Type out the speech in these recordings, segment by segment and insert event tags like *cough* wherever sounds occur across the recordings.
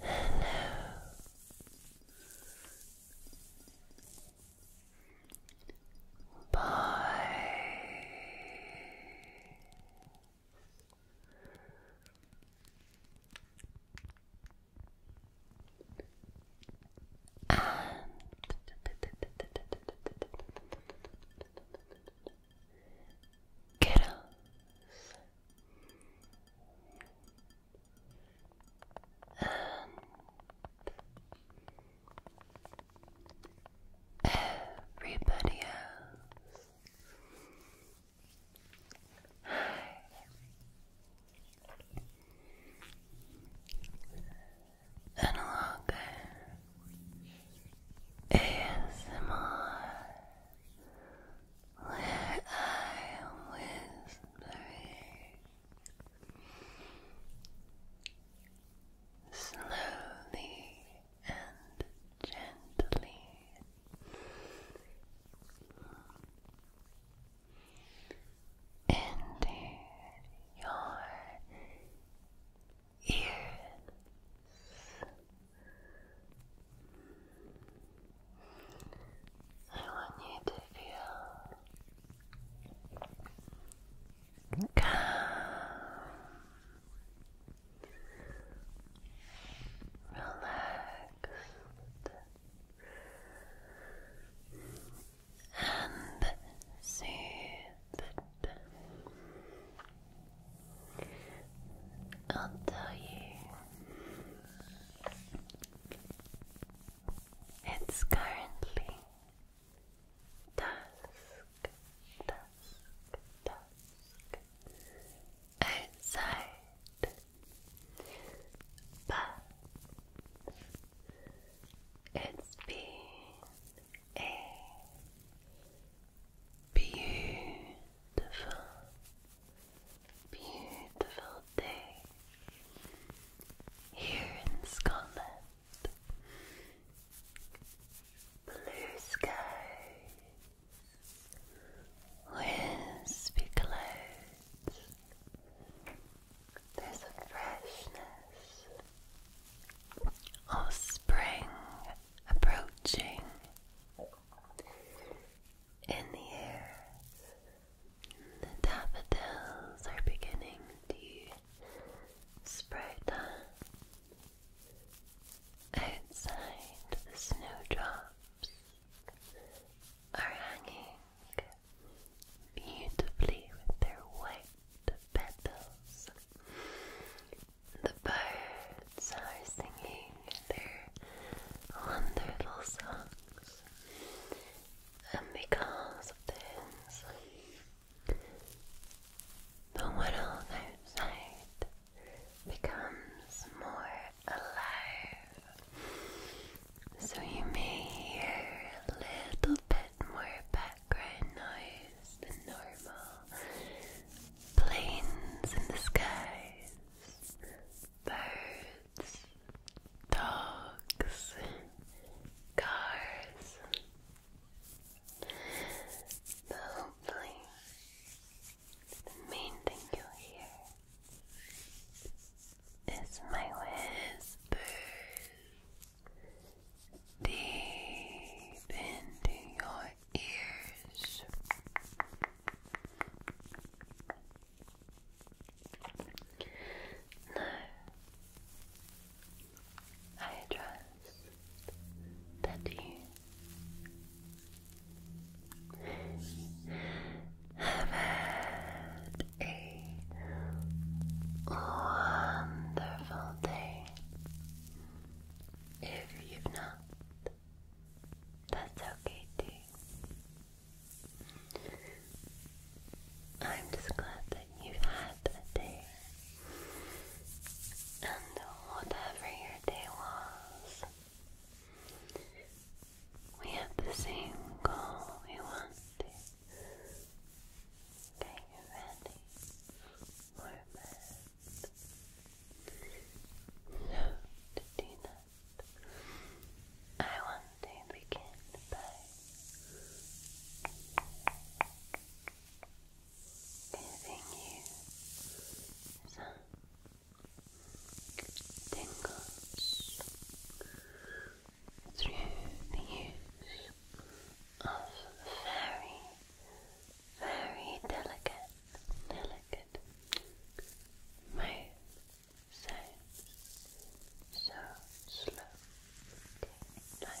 Hello. Bye. And Kiddos. And everybody else. Hi. ASMR, where I am slowly and gently. Into your ears. I want you to feel calm. Relaxed and soothed. I'll tell you, it's currently dusk, dusk, dusk outside, but it's been a Beautiful, beautiful day here in Scotland. Blue skies, wispy clouds. There's a freshness of spring approaching in the air. The daffodils are beginning to sprout up. Outside, the snowdrops are hanging beautifully with their white petals the birds are singing their little songs, and because of this, the world outside becomes more alive. So you may hear a little bit more background noise as the normal planes in the skies, birds, dogs, cars. But hopefully, the main thing you'll hear. Is my whispers deep into your ears. Now, I trust that you have had a wonderful day. If you've not, that's okay too. I'm just glad that you've had a day. And whatever your day was, we have the same goal we want to. Are you ready? moment. I want to begin by giving you some tingles through the use of very, very delicate, delicate mouth So slow, like.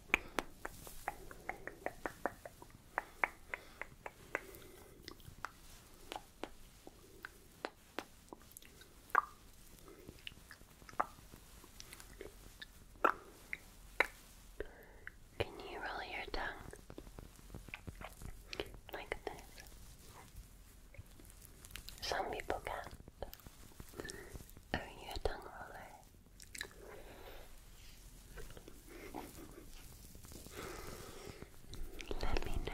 Can you roll your tongue like this? Some people can. Are you a tongue roller? Let me know.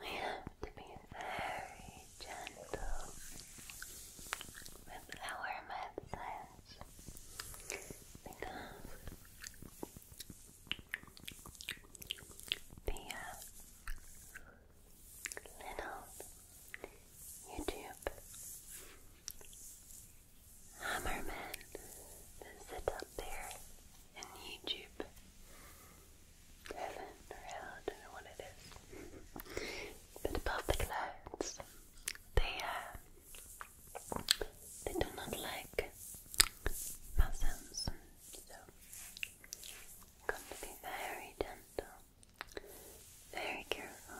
We have to be very gentle with our medicines because the little YouTube Hammerman visit up there in YouTube heaven or hell, I don't know what it is. but above the clouds, they uh, they do not like Muslims, so got to be very gentle very careful.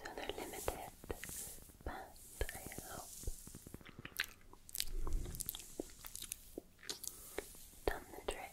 So they're limited, but I hope done the trick.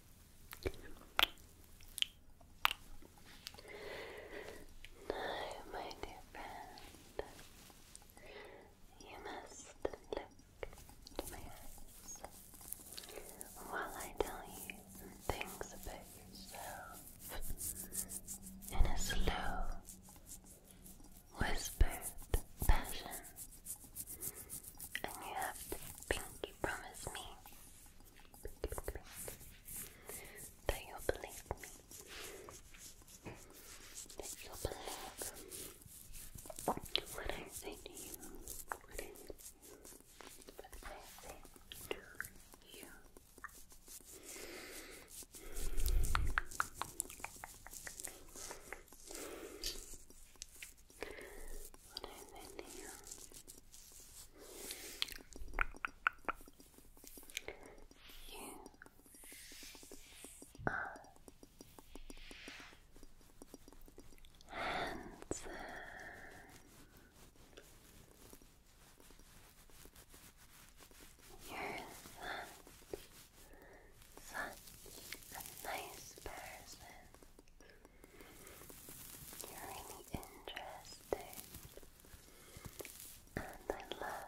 Now, my dear friend, you must look to my eyes while I tell you things about yourself in a slow, whispered fashion. And you have the pink you promised me. That you'll believe me. That you'll believe what I say to you. What I say to you. What is You are handsome. You're such a nice person really interesting, and I love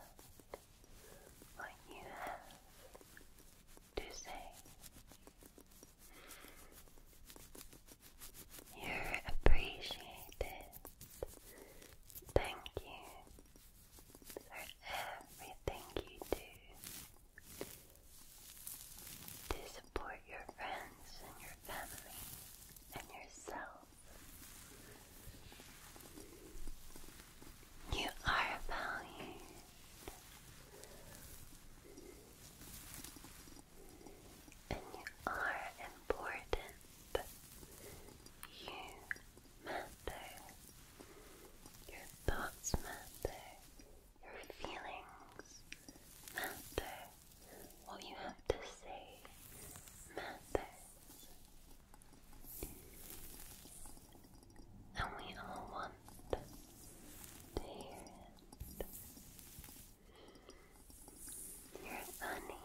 what you have to say. You're appreciated. Thank you for everything you do to support your friends and your family and yourself. You are valued. And you are important. You matter. Your thoughts matter your feelings matter. What you have to say matters. And we all want to hear it. You're funny.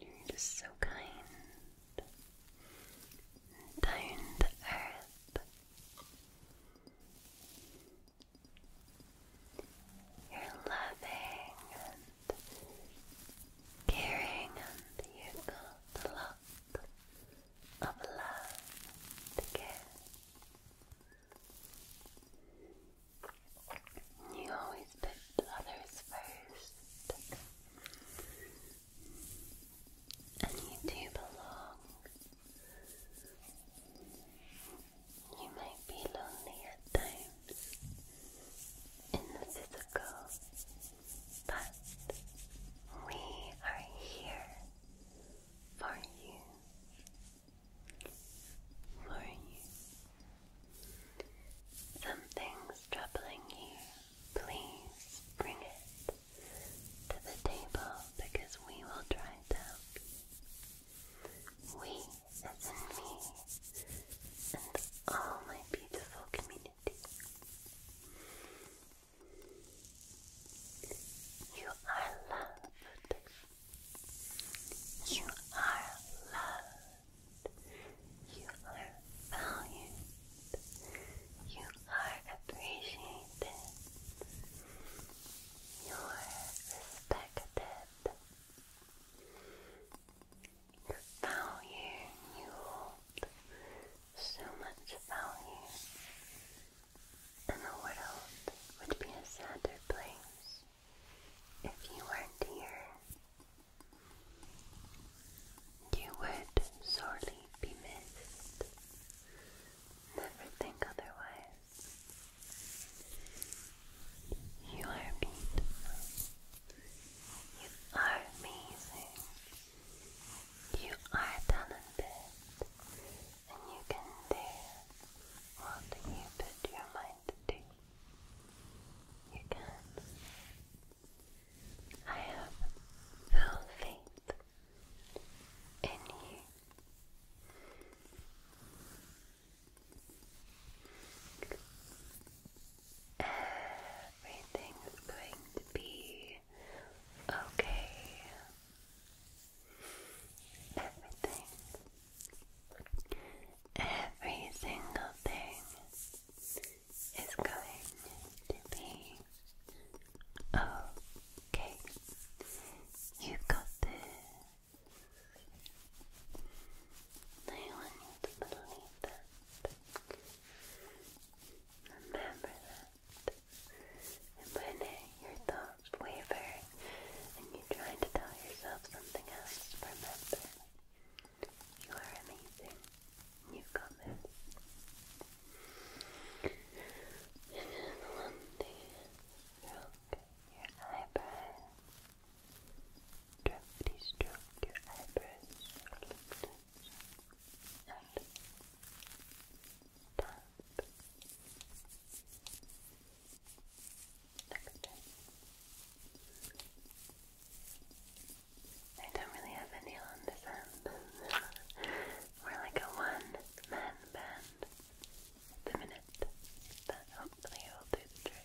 You're just so kind down to earth. You're loving and caring, and you got a lot of love to You always put others first. And you do belong. You might be lonely at times in the physical, but we are here for you. For you. Something's troubling you please bring it to the table because we will try it out. We, as me, and all my beautiful community. You are loved. You are loved. You are valued. You are appreciated. You are respected. Your value, you hold so much value, and the world would be a sadder place if you weren't here. You would sorely be missed. Never think otherwise. You are beautiful. You are amazing. You are talented. And you can do what you put your mind to. You can. I have full faith in you. Everything is going to be okay. Everything. Every single thing it's going to be okay. You've got this. I want you Remember that. And when your thoughts waver and you try to tell yourself something else, remember you are amazing. You've got this. And one thing stroke your eyebrows. Gently stroke your eyebrows. And tap. Next time. I don't really have any on this end. We're *laughs* like a one-man band at the minute, but hopefully it will do the trick.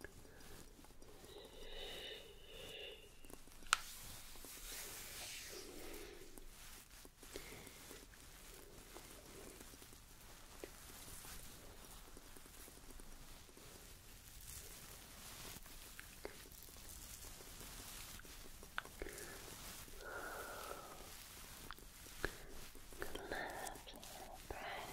Good left breath.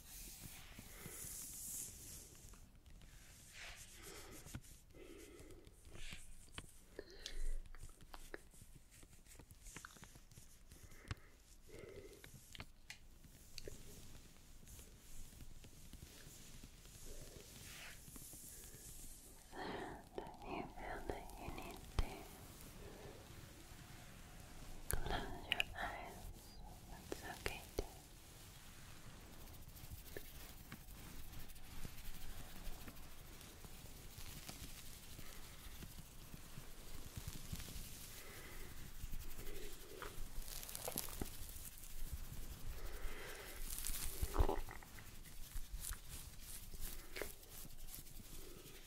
There, that you feel that you need to Close your eyes. That's okay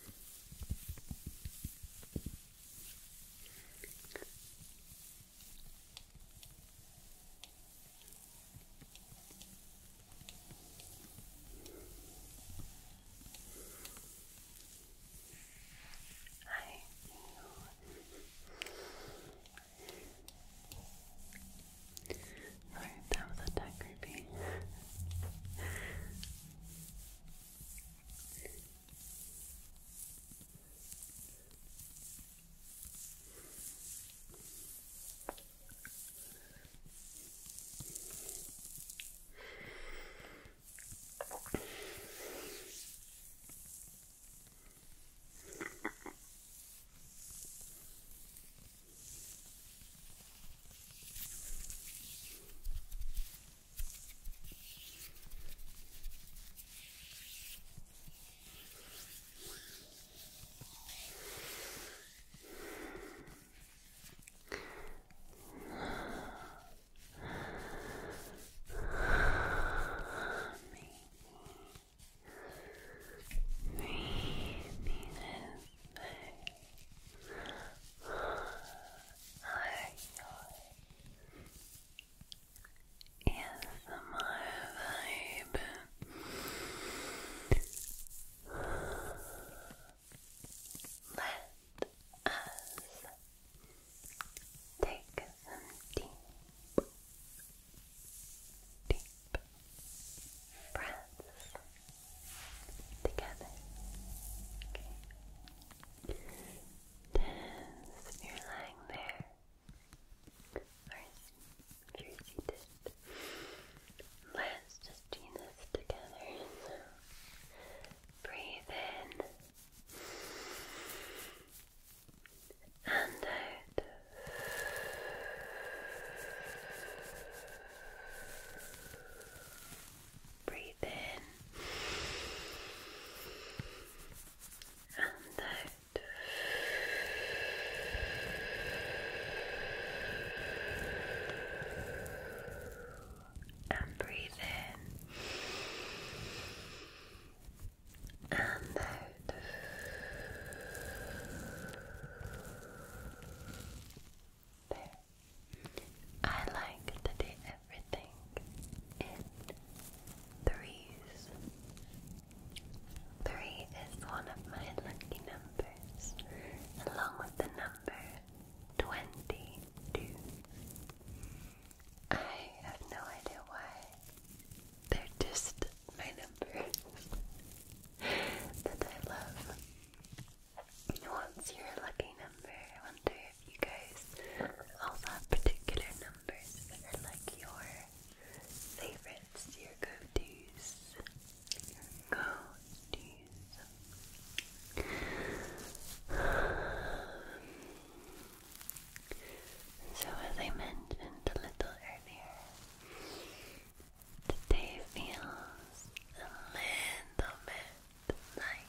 I knew Alright, that was a tad creepy. Maybe, maybe this Hi, ASMR vibe. Let us take some deep, deep breaths together. Okay. you're lying there, or you're seated, let's just do this together. breathe in. And out. Breathe in and out. And breathe in and out. I like to do everything in threes. Three is one of my lucky numbers, along with the number twenty-two. I have no idea why. They're just my numbers *laughs* that I love. What's your lucky number? I wonder if you guys also have particular numbers that are like your favorites, your go-tos, your go-tos. *sighs* So as I mentioned a little earlier, Today feels a little bit like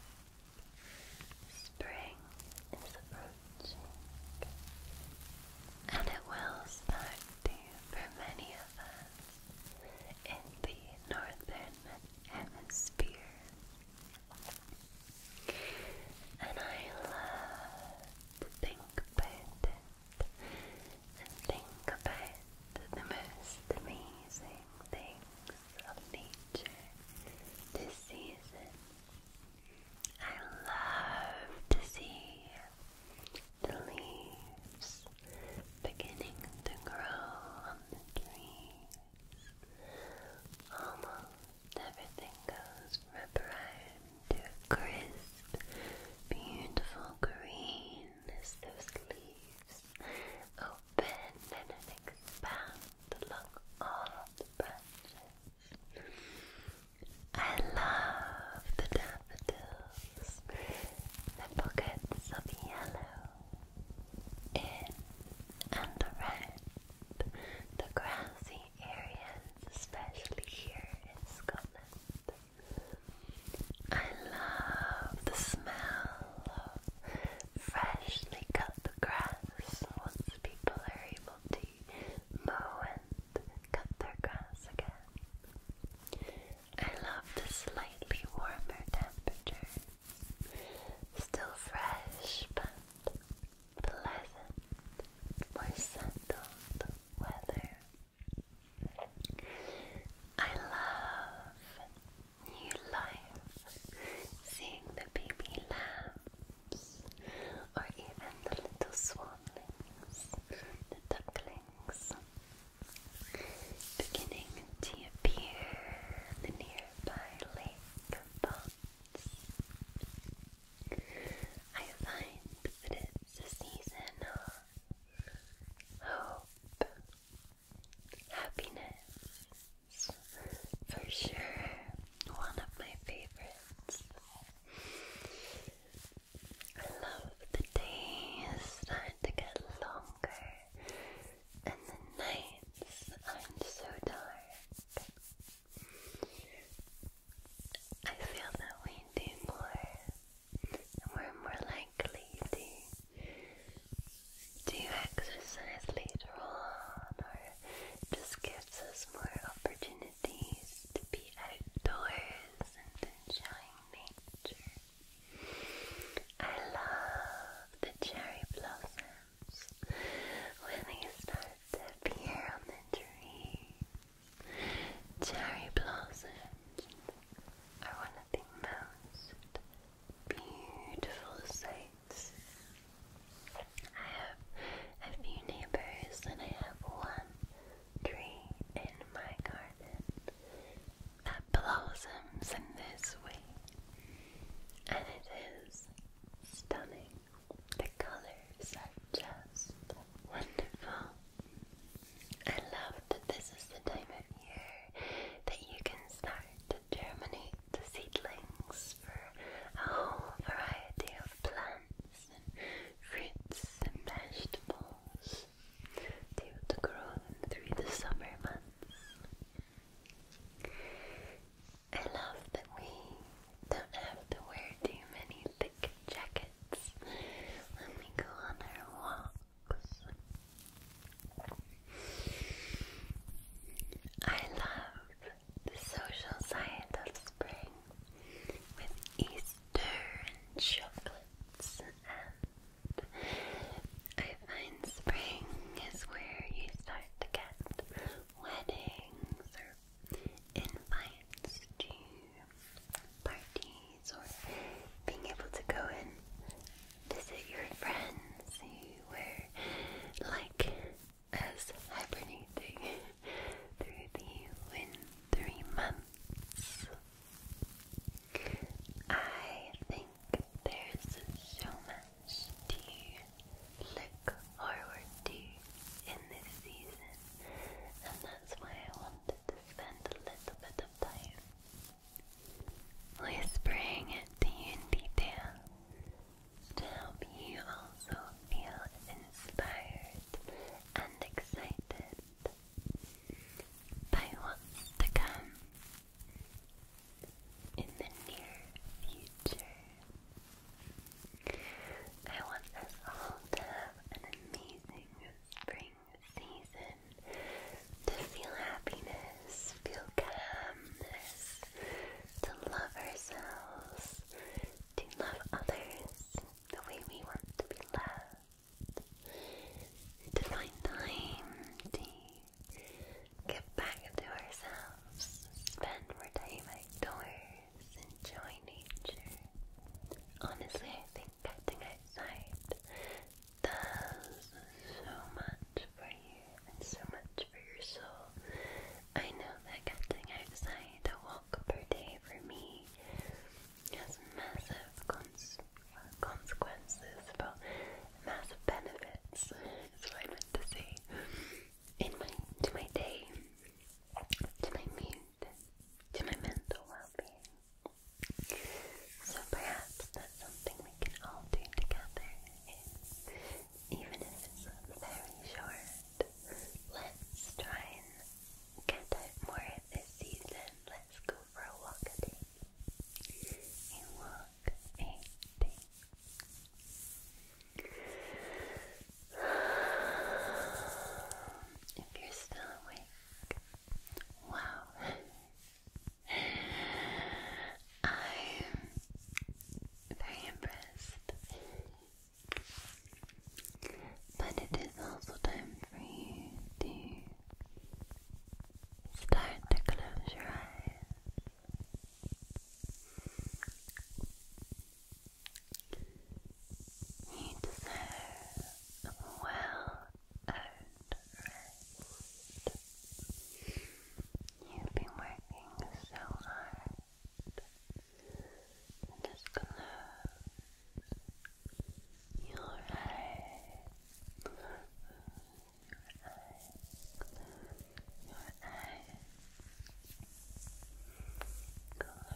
spring is approaching, and it will start to for many of us in the northern hemisphere. And I love to think about it and think about the most amazing things of nature this season. I love to see the leaves beginning to grow on the trees. Almost everything goes from brown to a crisp, beautiful green as those leaves open and expand along all the branches. I love the daffodils, the pockets of yellow in and around the grassy areas, especially here in Scotland. I love the smell of freshly cut grass once people are able to mow and cut their grass again. I love the slightly warmer temperatures. Still fresh but pleasant, more settled weather. I love new life, seeing the baby lambs, or even the little swanlings, the ducklings, beginning to appear in the nearby lake of ponds. I find that it's a season of hope, happiness. For sure, one of my favorites. I love the days start to get longer and the nights are so dark. I feel that we do more we're more likely to do exercise later on, or just gives us more opportunities to be outdoors and enjoying nature. I love the cherry blossoms when they start to appear on the trees. Cherry blossoms are one of the most beautiful sights. I have a few neighbors, and I have one tree in my garden that blossoms in this way, and it is stunning. The colors are just wonderful. I love that this is the time of year that you can start to germinate the seedlings for a whole variety of plants and fruits and vegetables to, to grow them through the summer months. I love that we don't have to wear too many thick jackets kids. Let me go on her walks. I love the social side of spring with Easter and chocolates, and I find spring is where you start to get weddings or invites to parties or being able to go and visit your friends who like us hibernating *laughs* through the wintry months. I think there's so much to look forward to in this season, and that's why I want to spend a little bit of time whispering it to you in detail to help you also feel inspired and excited by what's to come in the near future. I want us all to have an amazing spring season to feel happiness, feel calmness, to love ourselves, to love others the way we want to be loved, to find time to get back to ourselves, spend more time outdoors, enjoy nature. Honestly, I think petting outside does so much for you and so much for your soul. I know that getting outside a walk per day for me has massive cons consequences, but massive benefits *laughs* is what I meant to say. In my to my day, to my mood, to my mental well-being. So perhaps that's something we can all do together, even if it's very short. Let's try and get out more this season. Let's go for a walk a day. *sighs* If you're still awake, Wow. I'm very impressed. But it is also time for you to start to close your eyes. You deserve well earned rest. You've been working so hard. And close your eyes, your eyes, your eyes, close